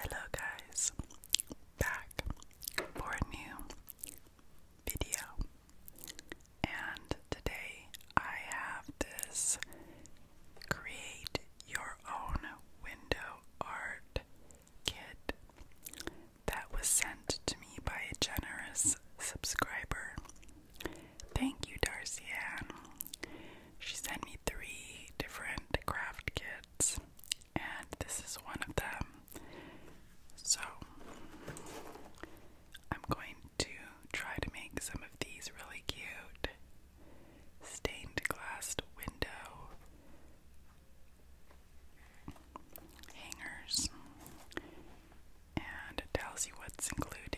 Hello guys, back for a new video. And today I have this create your own window art kit that was sent to me by a generous subscriber. Thank you, Darcy She sent me three different craft kits and this is one of them. So, I'm going to try to make some of these really cute stained glass window hangers and it tells you what's included.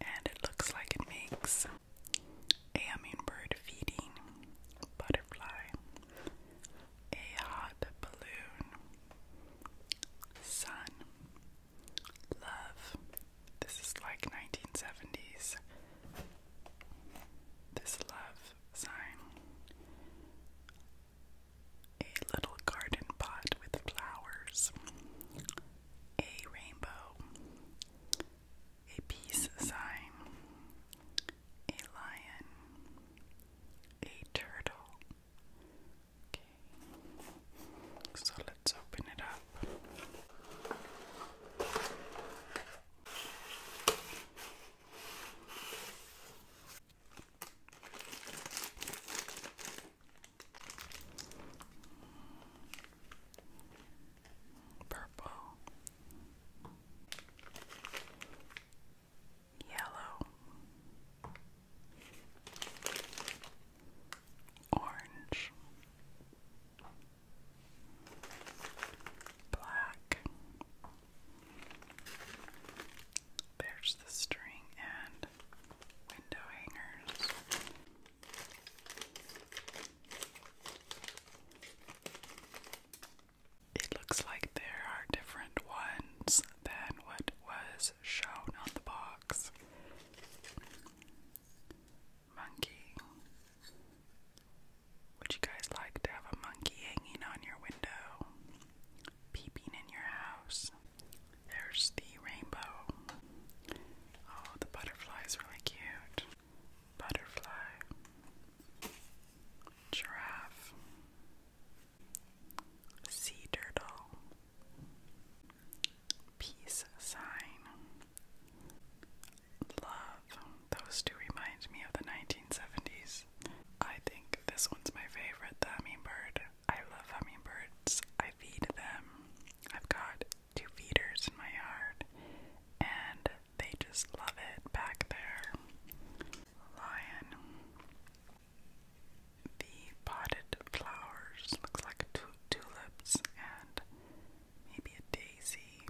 And it looks like it makes a hummingbird feeding butterfly, a hot balloon, sun, love. This is like 1970s. This love sign a little garden pot with flowers, a rainbow, a peace sign, a lion, a turtle. so let's open it up purple, yellow, orange, black. There's the string and window hangers. It looks like there are different ones than what was shown on the box. Monkey. Would you guys like to have a monkey hanging on your window? peeping in your house. There's the rainbow. Oh, the butterfly is really cute. Butterfly, giraffe, sea turtle, peace sign, love. Those two remind me of the 1970s. I think this one's my favorite, the hummingbird. I love hummingbirds. I feed them. I've got two feeders in my yard, and they just love it back there. Lion. The potted flowers looks like two tulips and maybe a daisy.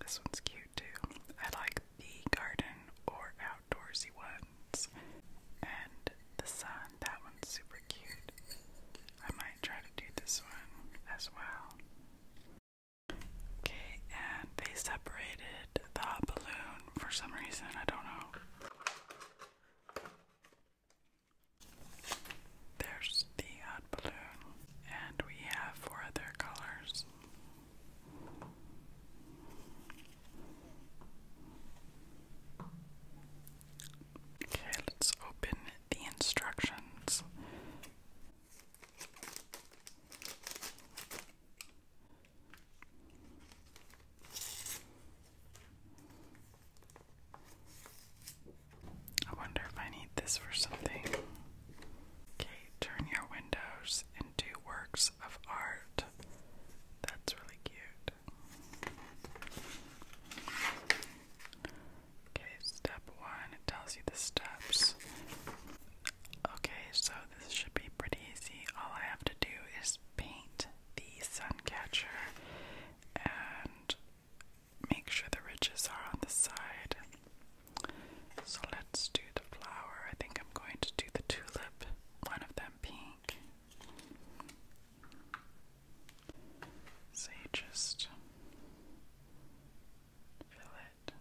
This one's cute too. I like the garden or outdoorsy one and the sun. That one's super cute. I might try to do this one as well. Okay, and they separated the balloon for some reason. I don't know. There's the hot balloon, and we have four other colors. Okay, let's open the instructions. I wonder if I need this for something. Okay, turn your windows into work of art. That's really cute. Okay, step one, it tells you the steps. Okay, so this should be pretty easy. All I have to do is paint the sun catcher and make sure the ridges are on the side. So let's do the flower. I think I'm going to do the tulip, one of them pink. So you just fill it.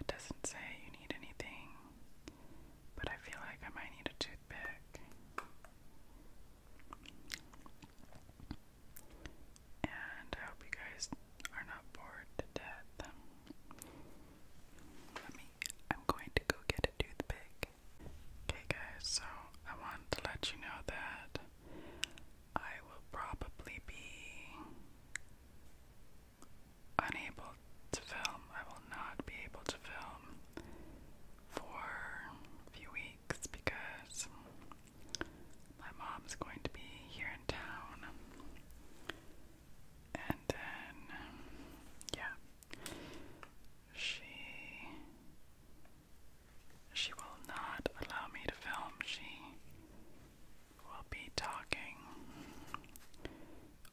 It doesn't say you need anything, but I feel like I might need a toothpick. And I hope you guys are not bored to death. I'm going to go get a toothpick. Okay, guys, so I want to let you know that I will probably be unable to film. I will not be able to film for a few weeks because my mom's going to be here in town. And then, yeah, she she will not allow me to film. She will be talking,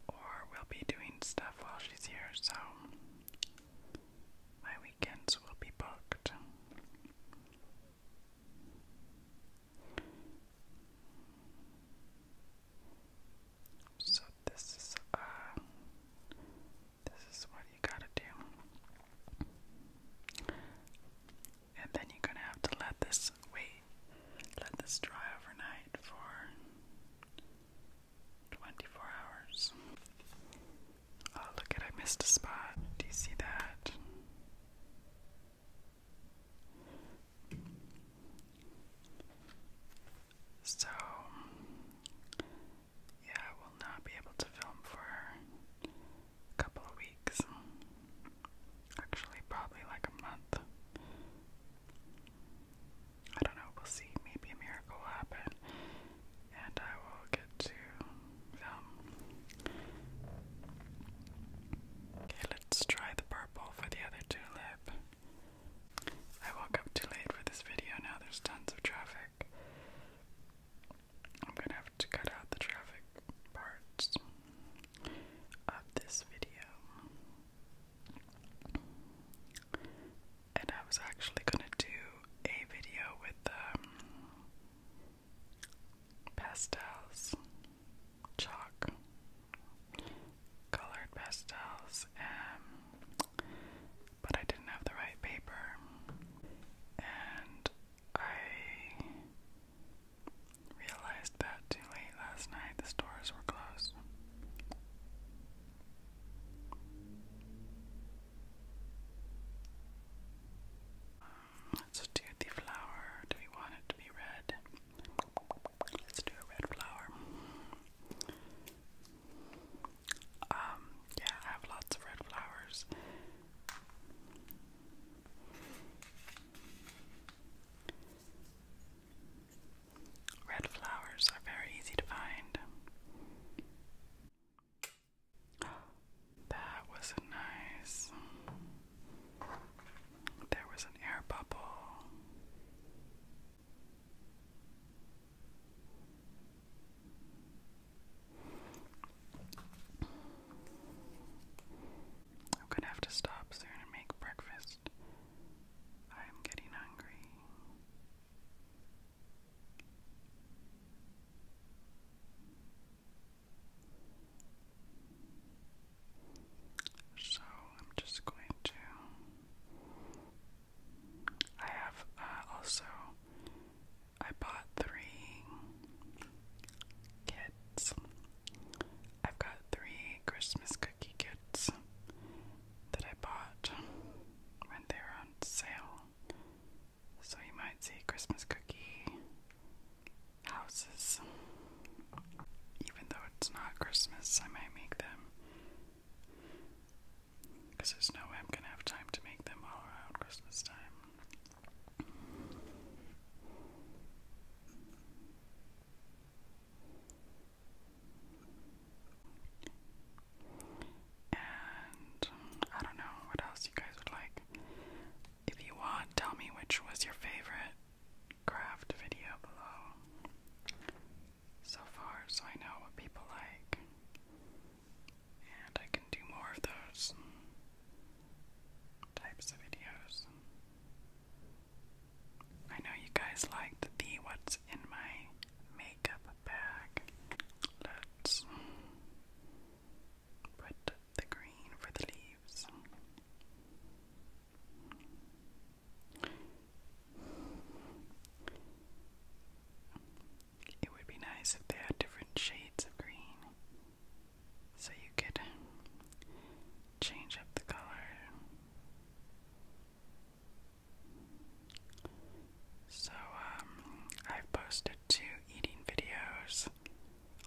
or will be doing stuff while she's here. So my weekends will be booked. So this is uh this is what you gotta do. And then you're gonna have to let this wait, let this dry overnight for 24 hours. Oh, look I missed a spot. Do you see that? So, yeah, I will not be able to film for a couple of weeks. Actually, probably like a month. I don't know, we'll see. Maybe a miracle happen and I will get to film. Okay, let's try the burger for the other tulip. I woke up too late for this video, now there's tons of traffic. I'm gonna have to cut out the traffic parts of this video. And I was actually gonna do a video with um, pastels chalk, colored pastels, um, but I didn't have the right paper, and I realized that too late last night. The stores were closed. let do the flower. Do we want it to be red? Let's do a red flower. Um, yeah, I have lots of red flowers. Red flowers are very easy to find. That was a nice. There was an air bubble. I'm gonna have to stop soon and make breakfast. I am getting hungry. So I'm just going to. I have uh, also. I bought three kits. I've got three Christmas cookie kits that I bought when they were on sale. So you might see Christmas cookie houses. Even though it's not Christmas, I might make them. Because there's no way I'm gonna have time to make them all around Christmas time. And I don't know what else you guys would like. If you want, tell me which was your favorite craft video below so far, so I know what people like. And I can do more of those types of videos. I know you guys liked the what's in my makeup bag. Let's the green for the leaves. It would be nice if they had different shades of green so you could change up the color. So, um, i posted to eating videos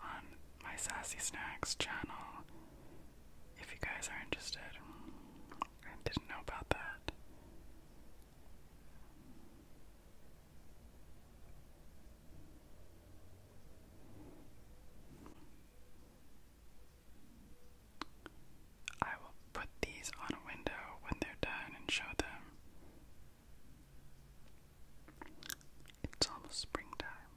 on my Sassy Snacks channel if you guys are interested. didn't know about that. I will put these on a window when they're done and show them it's almost springtime.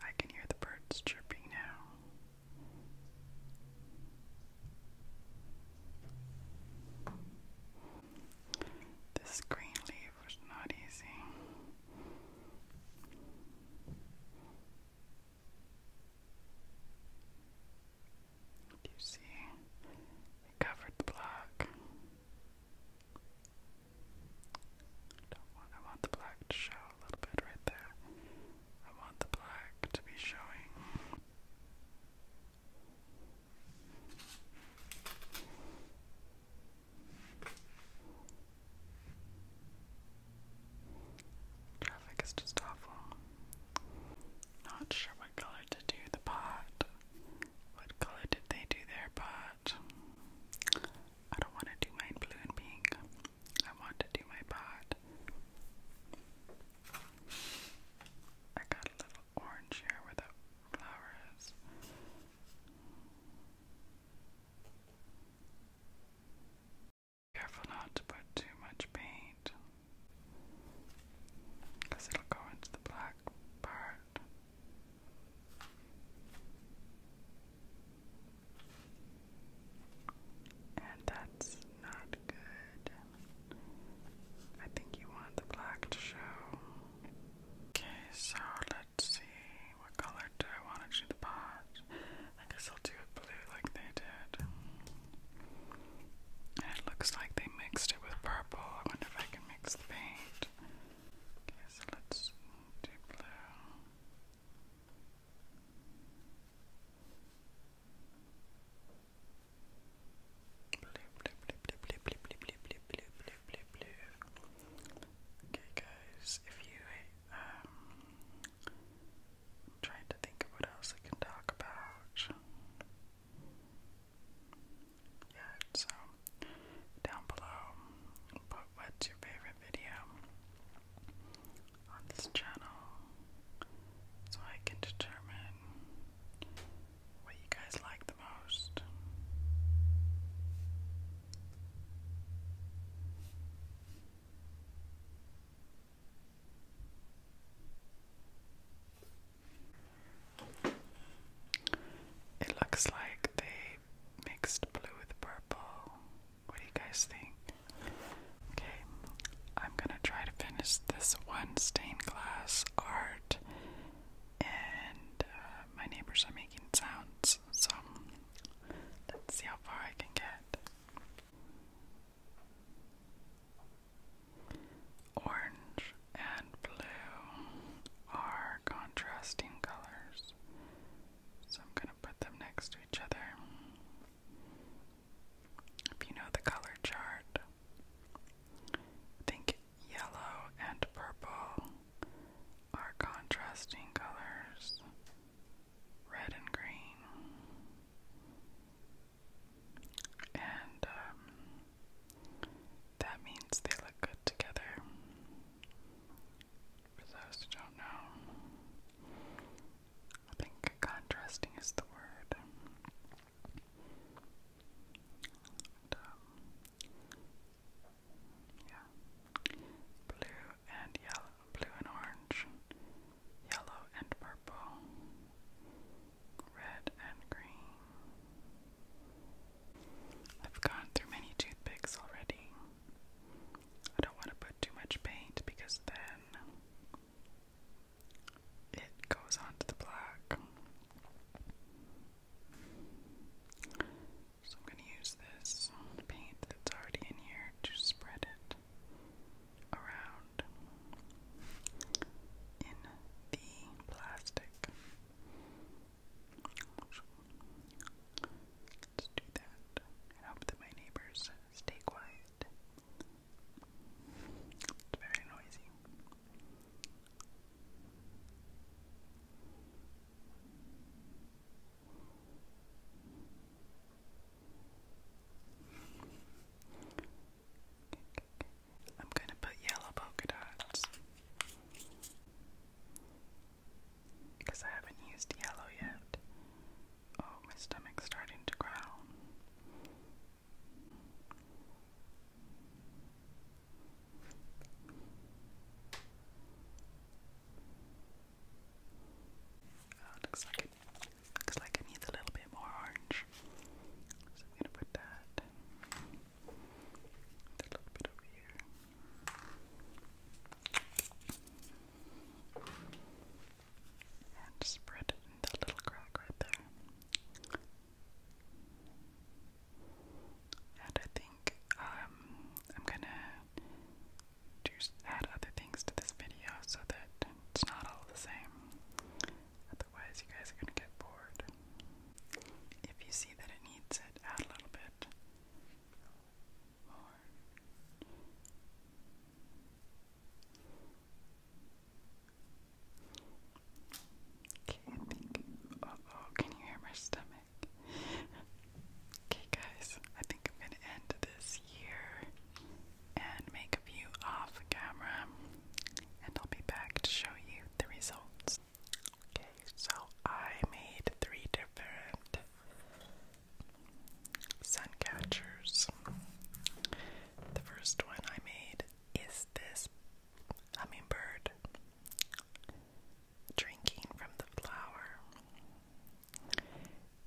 I can hear the birds chirping now. This green leaf was not easy you see a covered black? Don't want, I want the black to show a little bit right there. I want the black to be showing. Traffic is just awful. Not sure what color to do the pot. What color did they do their pot? I don't want to do mine blue and pink. I want to do my pot. I got a little orange here with the flower Careful not to put too much paint because it'll go into the black part. And that's not good. I think you want the black to show. Okay, so let's see. What color do I want to do the pot? I guess I'll do it blue like they did it looks like they mixed it with purple. I wonder if I can mix the paint. Okay, so let's do blue. Blue, blue, blue, blue, blue, blue, blue, blue, blue, blue, blue, blue, blue. Okay, guys, if you um, trying to think of what else I can talk about. Yeah, so down below, put what's your favorite video on this channel so I can determine what you guys like the most. It looks like they mixed blue with purple. What do you guys think? Okay, I'm gonna try to finish this one stained glass art, and uh, my neighbors are making sounds, so let's see how far I can get. Orange and blue are contrasting colors, so I'm going to put them next to each other. If you know the color chart, think yellow and purple are contrasting colors, red and green and um, that means they look good together. For those who don't know, I think contrasting is the word. And, um, yeah, blue and yellow, blue and orange yellow and purple, red and green. I've gone through many toothpicks already. I don't want to put too much paint because then it goes on the black. So I'm going to use this paint that's already in here to spread it around in the plastic. Let's do that and hope that my neighbors stay quiet. It's very noisy. I'm going to put yellow polka dots because I haven't used yellow yet. Oh, my stomach's starting to growl. Oh, it looks like Looks like it needs a little bit more orange. So I'm gonna put that a little bit over here. And spread that little crack right there. And I think um, I'm gonna do add other things to this video so that it's not all the same. Otherwise, you guys are gonna get bored. If you see that it needs it, add a little bit more. Okay, I think. Uh oh, can you hear my stomach? Okay, guys, I think I'm gonna end this here and make a few off camera, and I'll be back to show you the results. Okay, so I made three different sun catchers. The first one I made is this hummingbird drinking from the flower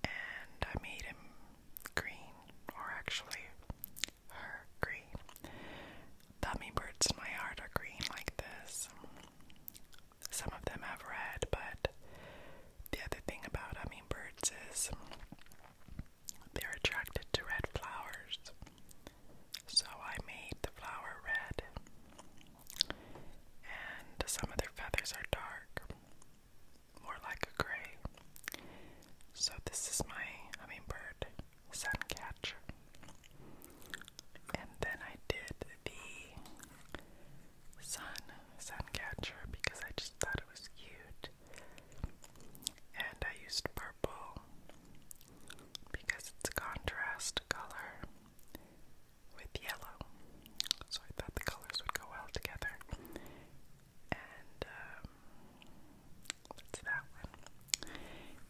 and I made him green, or actually, her green. The hummingbirds in my yard are green like this. Some of them have red, but the other thing about hummingbirds is they're attracted to red flowers. So I made the flower red, and some of their feathers are dark more like a gray. So this is my hummingbird suncatcher. And then I did the sun catcher because I just thought it was cute. And I used purple because it's a contrast color with yellow. So I thought the colors would go well together. And um, that's that one.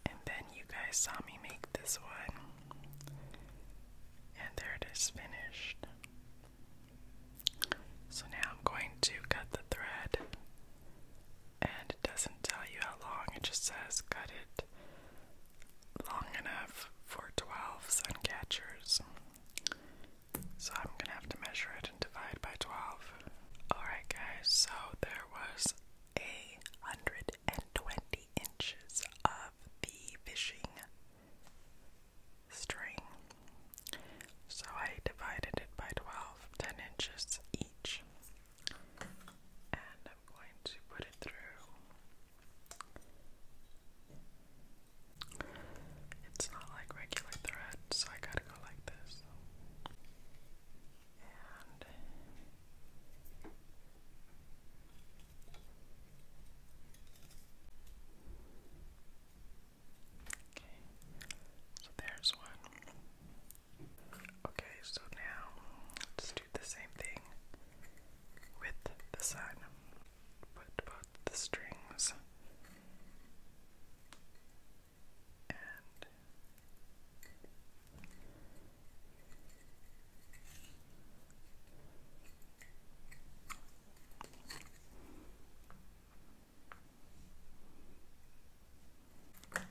And then you guys saw me make this one. And there it is finished. So now I'm going to cut the thread. And it doesn't tell you how long, it just says cut it long enough for 12 sun catchers. So I'm gonna have to measure it and divide by 12. Alright, guys, so there was a 120 inches of the fishing string. So I divided it by 12, 10 inches each. And I'm going to put it through it's not like regular thread, so I gotta go like this. Okay, so there's one. Okay, so now let do the same thing with the sun. Put both the strings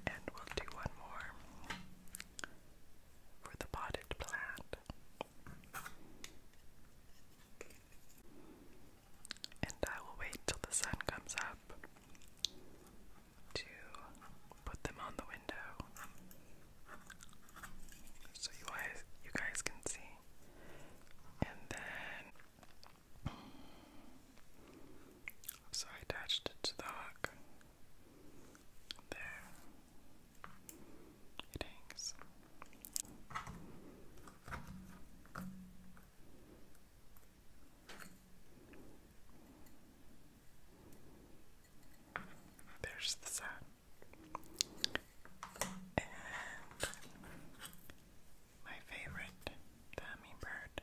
and we'll do one more for the potted plant. And I will wait till the sun comes up to put them on the window so you guys, can see. And then, so I attached it to the hook. There. It There's the sun. And my favorite, the hummingbird.